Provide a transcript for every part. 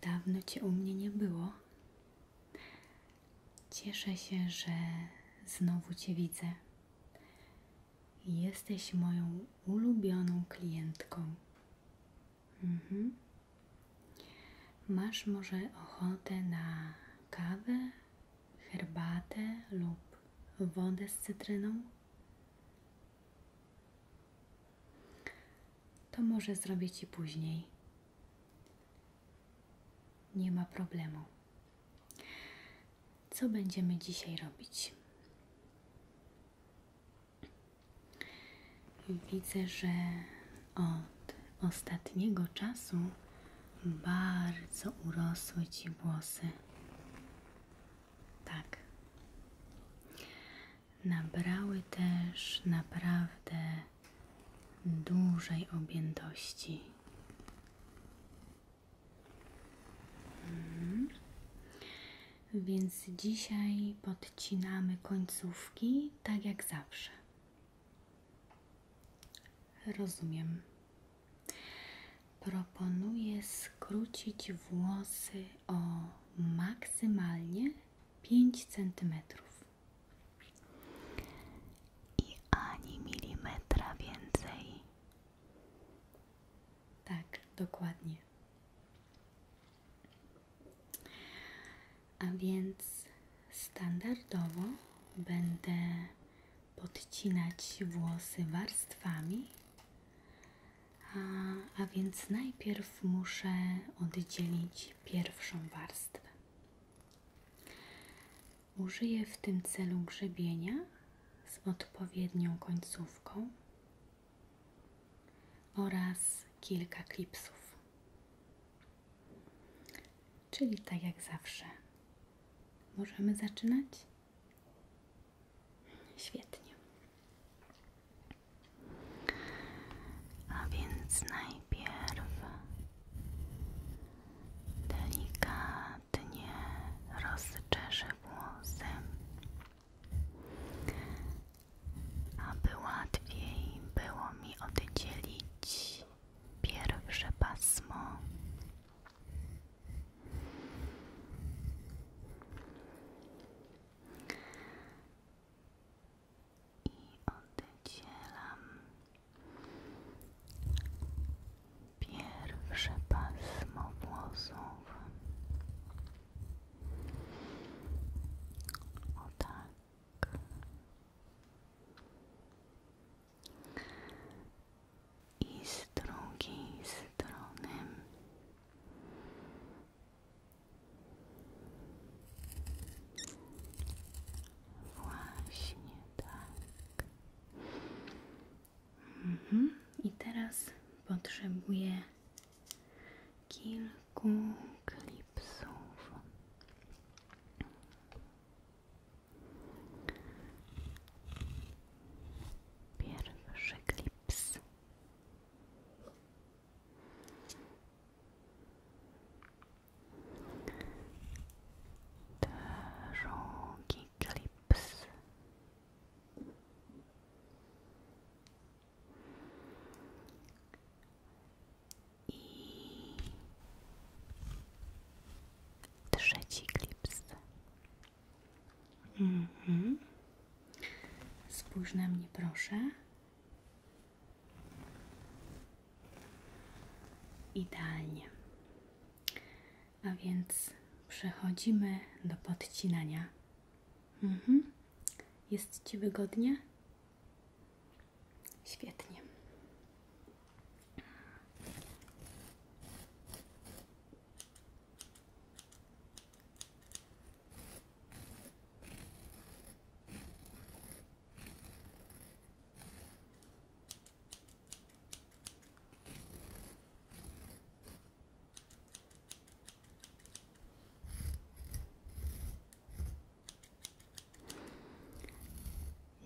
Dawno cię u mnie nie było. Cieszę się, że znowu cię widzę. Jesteś moją ulubioną klientką. Mhm. Masz może ochotę na kawę, herbatę lub wodę z cytryną? to może zrobię Ci później. Nie ma problemu. Co będziemy dzisiaj robić? Widzę, że od ostatniego czasu bardzo urosły Ci włosy. Tak nabrały też naprawdę dużej objętości. Mhm. Więc dzisiaj podcinamy końcówki tak jak zawsze. Rozumiem. Proponuję skrócić włosy o maksymalnie pięć centymetrów I ani milimetra więcej. Tak, dokładnie. A więc standardowo będę podcinać włosy warstwami a, więc najpierw muszę oddzielić pierwszą warstwę. Użyję w tym celu grzebienia z odpowiednią końcówką oraz kilka klipsów. Czyli tak jak zawsze. Możemy zaczynać? Świetnie. A więc najpierw delikatnie rozczeszę włosy, aby łatwiej było mi oddzielić pierwsze pasmo i oddzielam pierwsze pasmo włosów. O tak i z drugiej strony. Właśnie tak. Mhm. I teraz potrzebuję kilku klipsów. Pierwszy klip. Drugi klips. I trzeci klips. Mhm. Spójrz na mnie, proszę. Idealnie. A więc przechodzimy do podcinania. Mhm. Jest Ci wygodnie? Świetnie.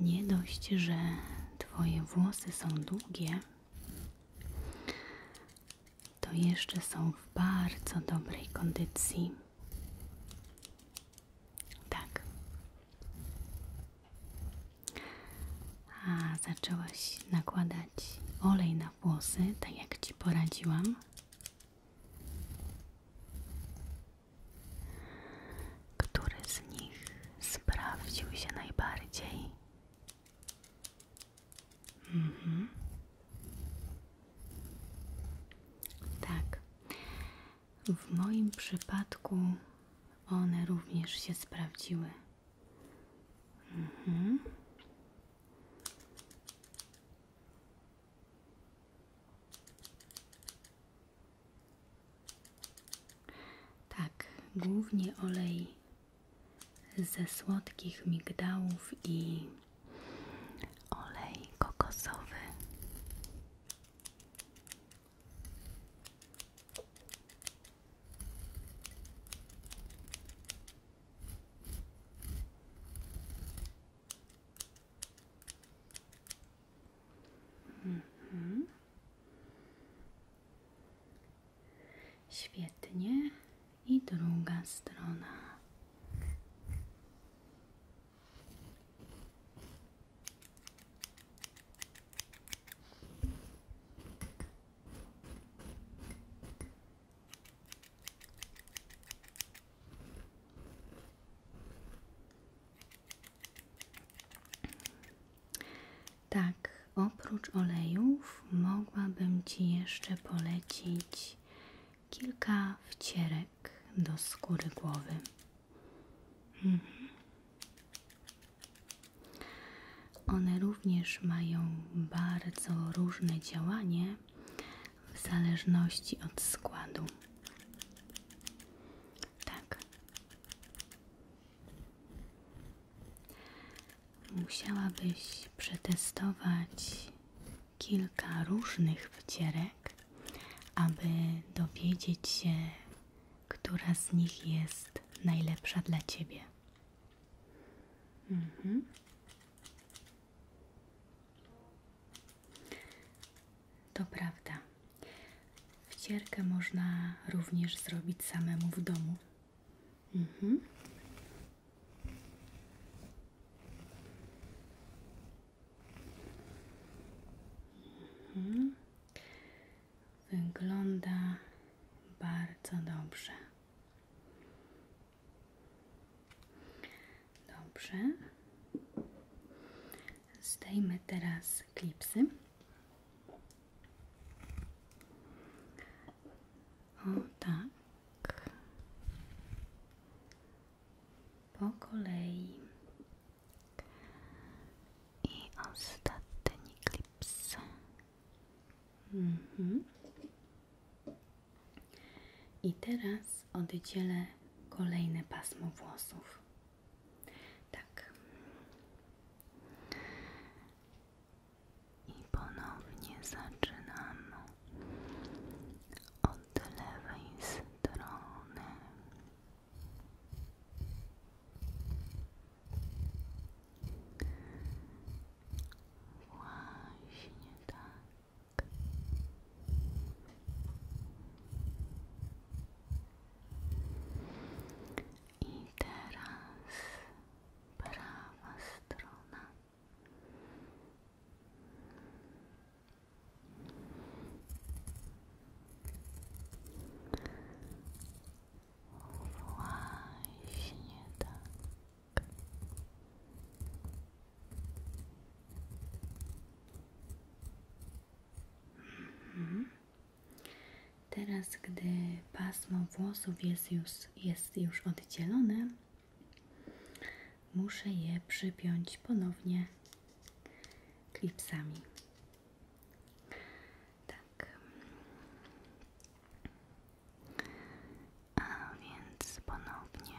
Nie dość, że Twoje włosy są długie, to jeszcze są w bardzo dobrej kondycji. Tak. A zaczęłaś nakładać olej na włosy, tak jak ci poradziłam. Który z nich sprawdził się najbardziej? Mhm. Tak. W moim przypadku one również się sprawdziły. Mhm. Tak, głównie olej ze słodkich migdałów i olej kokosowy. Mhm. Świetnie. I druga strona. Tak, oprócz olejów mogłabym Ci jeszcze polecić kilka wcierek do skóry głowy. Mhm. One również mają bardzo różne działanie w zależności od składu. Tak. Musiałabyś przetestować kilka różnych wcierek, aby dowiedzieć się, która z nich jest najlepsza dla ciebie. Mhm. To prawda. Wcierkę można również zrobić samemu w domu. Mhm. mhm. Wygląda bardzo dobrze. Dobrze. Zdejmy teraz z tak. Po kolei. I ostatni klips. Mhm. I teraz oddzielę kolejne pasmo włosów. Tak. I ponownie zaczynamy od lewej strony. Właśnie tak. I teraz prawa strona. Właśnie tak. Mhm. Teraz, gdy pasmo włosów jest już, jest już oddzielone, muszę je przypiąć ponownie klipsami. Tak. A więc ponownie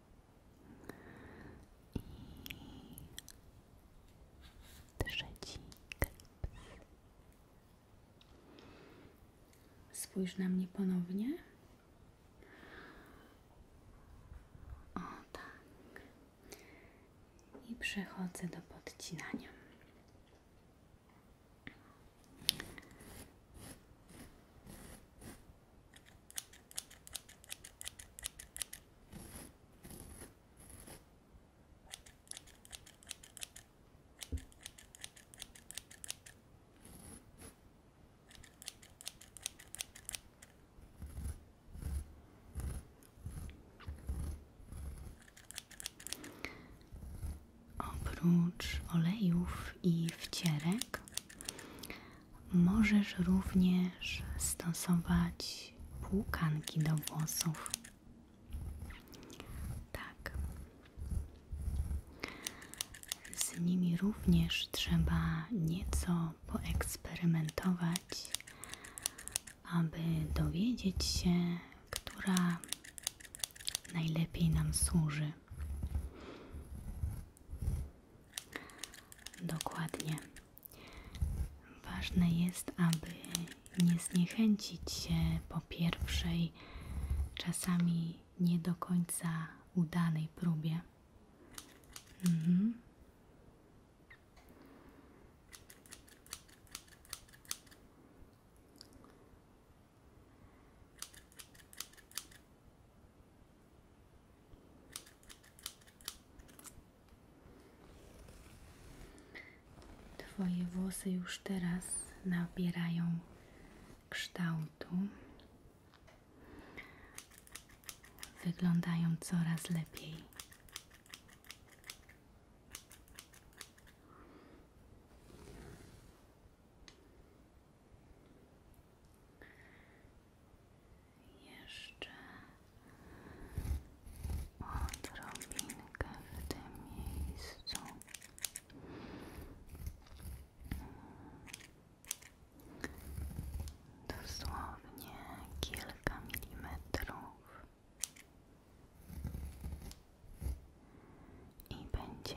I trzeci kaps. Spójrz na ponownie. O tak. I przechodzę do podcinania. Oprócz olejów i wcierek Możesz również stosować półkanki do włosów. Tak. Z nimi również trzeba nieco poeksperymentować, aby dowiedzieć się, która najlepiej nam służy. Dokładnie. Ważne jest, aby nie zniechęcić się po pierwszej, czasami nie do końca udanej próbie. Mhm. Twoje włosy już teraz nabierają kształtu. Wyglądają coraz lepiej. Jeszcze odrobinkę w tym miejscu. Dosłownie kilka milimetrów i będzie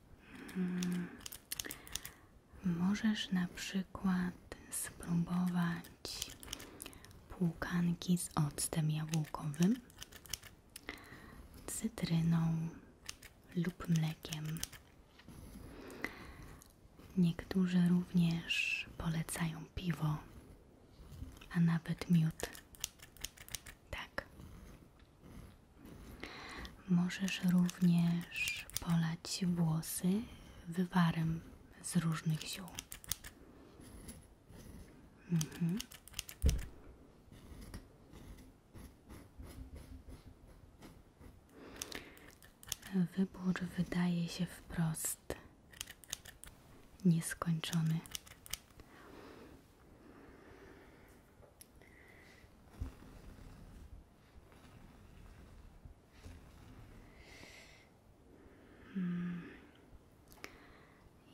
Hmm. Możesz na przykład spróbować półkanki z octem jabłkowym, cytryną lub mlekiem. Niektórzy również polecają piwo, a nawet miód. Tak. Możesz również polać włosy wywarem z różnych ziół. Mhm. Wybór wydaje się wprost nieskończony. Hmm.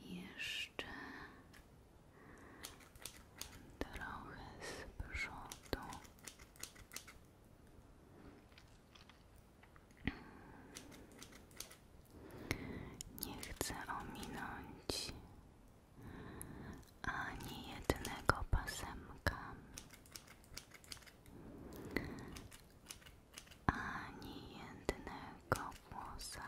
Jeszcze trochę z przodu. Nie chcę ominąć ani jednego pasemka, ani jednego włosa.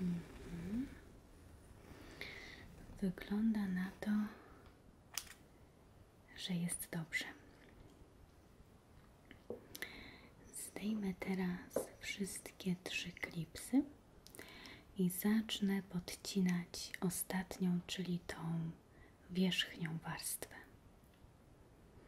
Mhm. Wygląda na to, że jest dobrze. Zdejmę teraz wszystkie trzy klipsy i zacznę podcinać ostatnią, czyli tą wierzchnią warstwę.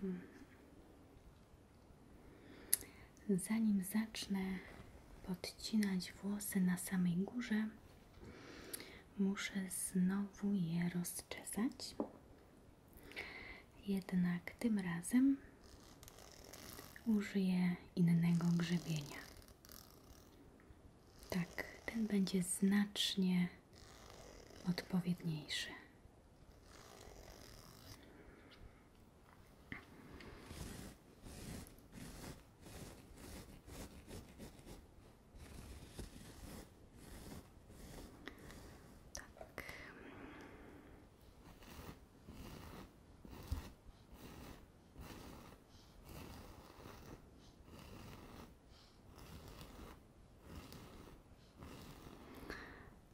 Hmm. Zanim zacznę podcinać włosy na samej górze, muszę znowu je rozczesać. Jednak tym razem użyję innego grzebienia. Tak, ten będzie znacznie odpowiedniejszy. Tak.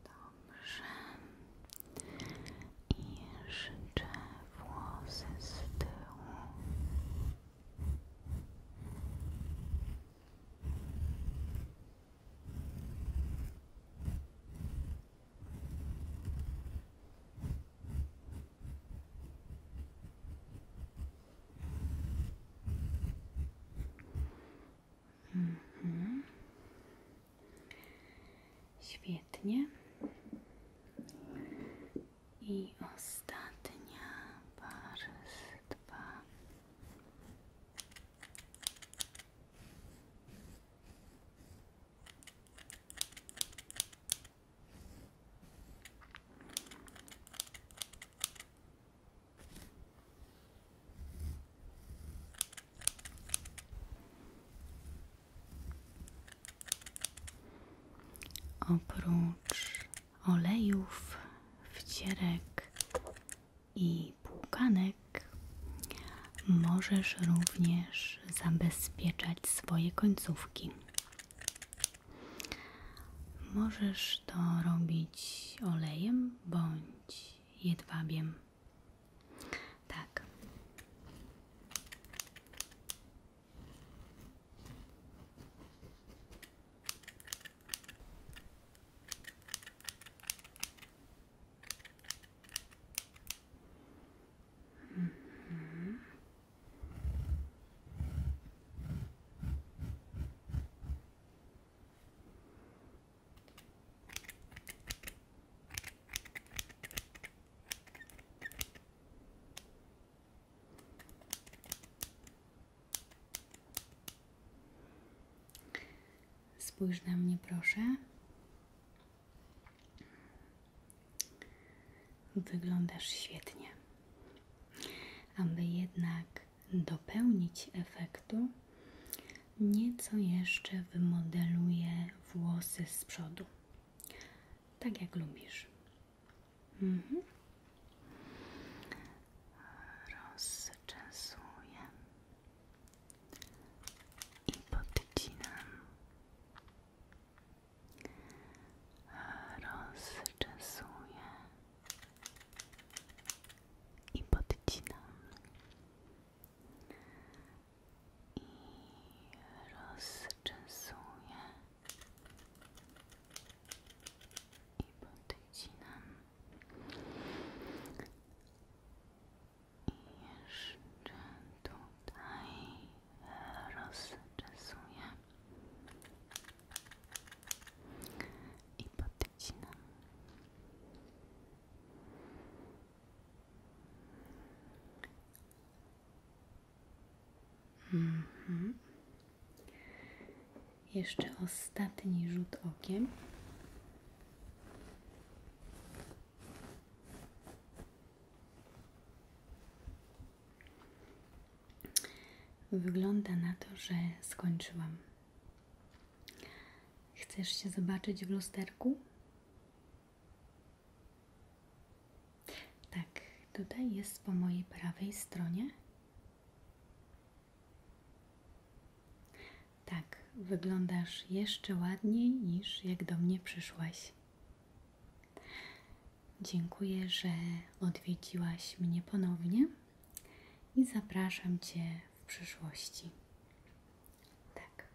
Dobrze. I życzę włosy z tyłu. Dobrze. Mhm. Świetnie. I ostatnia warstwa. Oprócz olejów, wcierek i płukanek, możesz również zabezpieczać swoje końcówki. Możesz to robić olejem bądź jedwabiem. Tak. Mhm. Spójrz na mnie, proszę. Wyglądasz świetnie. Aby jednak dopełnić efektu, nieco jeszcze wymodeluję włosy z przodu. Tak jak lubisz. Mhm. i podcinam rozczesuję i podcinam i rozczesuję i podcinam i jeszcze tutaj rozczesuję i podcinam. Mhm. Jeszcze ostatni rzut okiem. Wygląda na to, że skończyłam. Chcesz się zobaczyć w lusterku? Tak, tutaj jest po mojej prawej stronie. Tak, wyglądasz jeszcze ładniej niż jak do mnie przyszłaś. Dziękuję, że odwiedziłaś mnie ponownie i zapraszam Cię w przyszłości. Tak.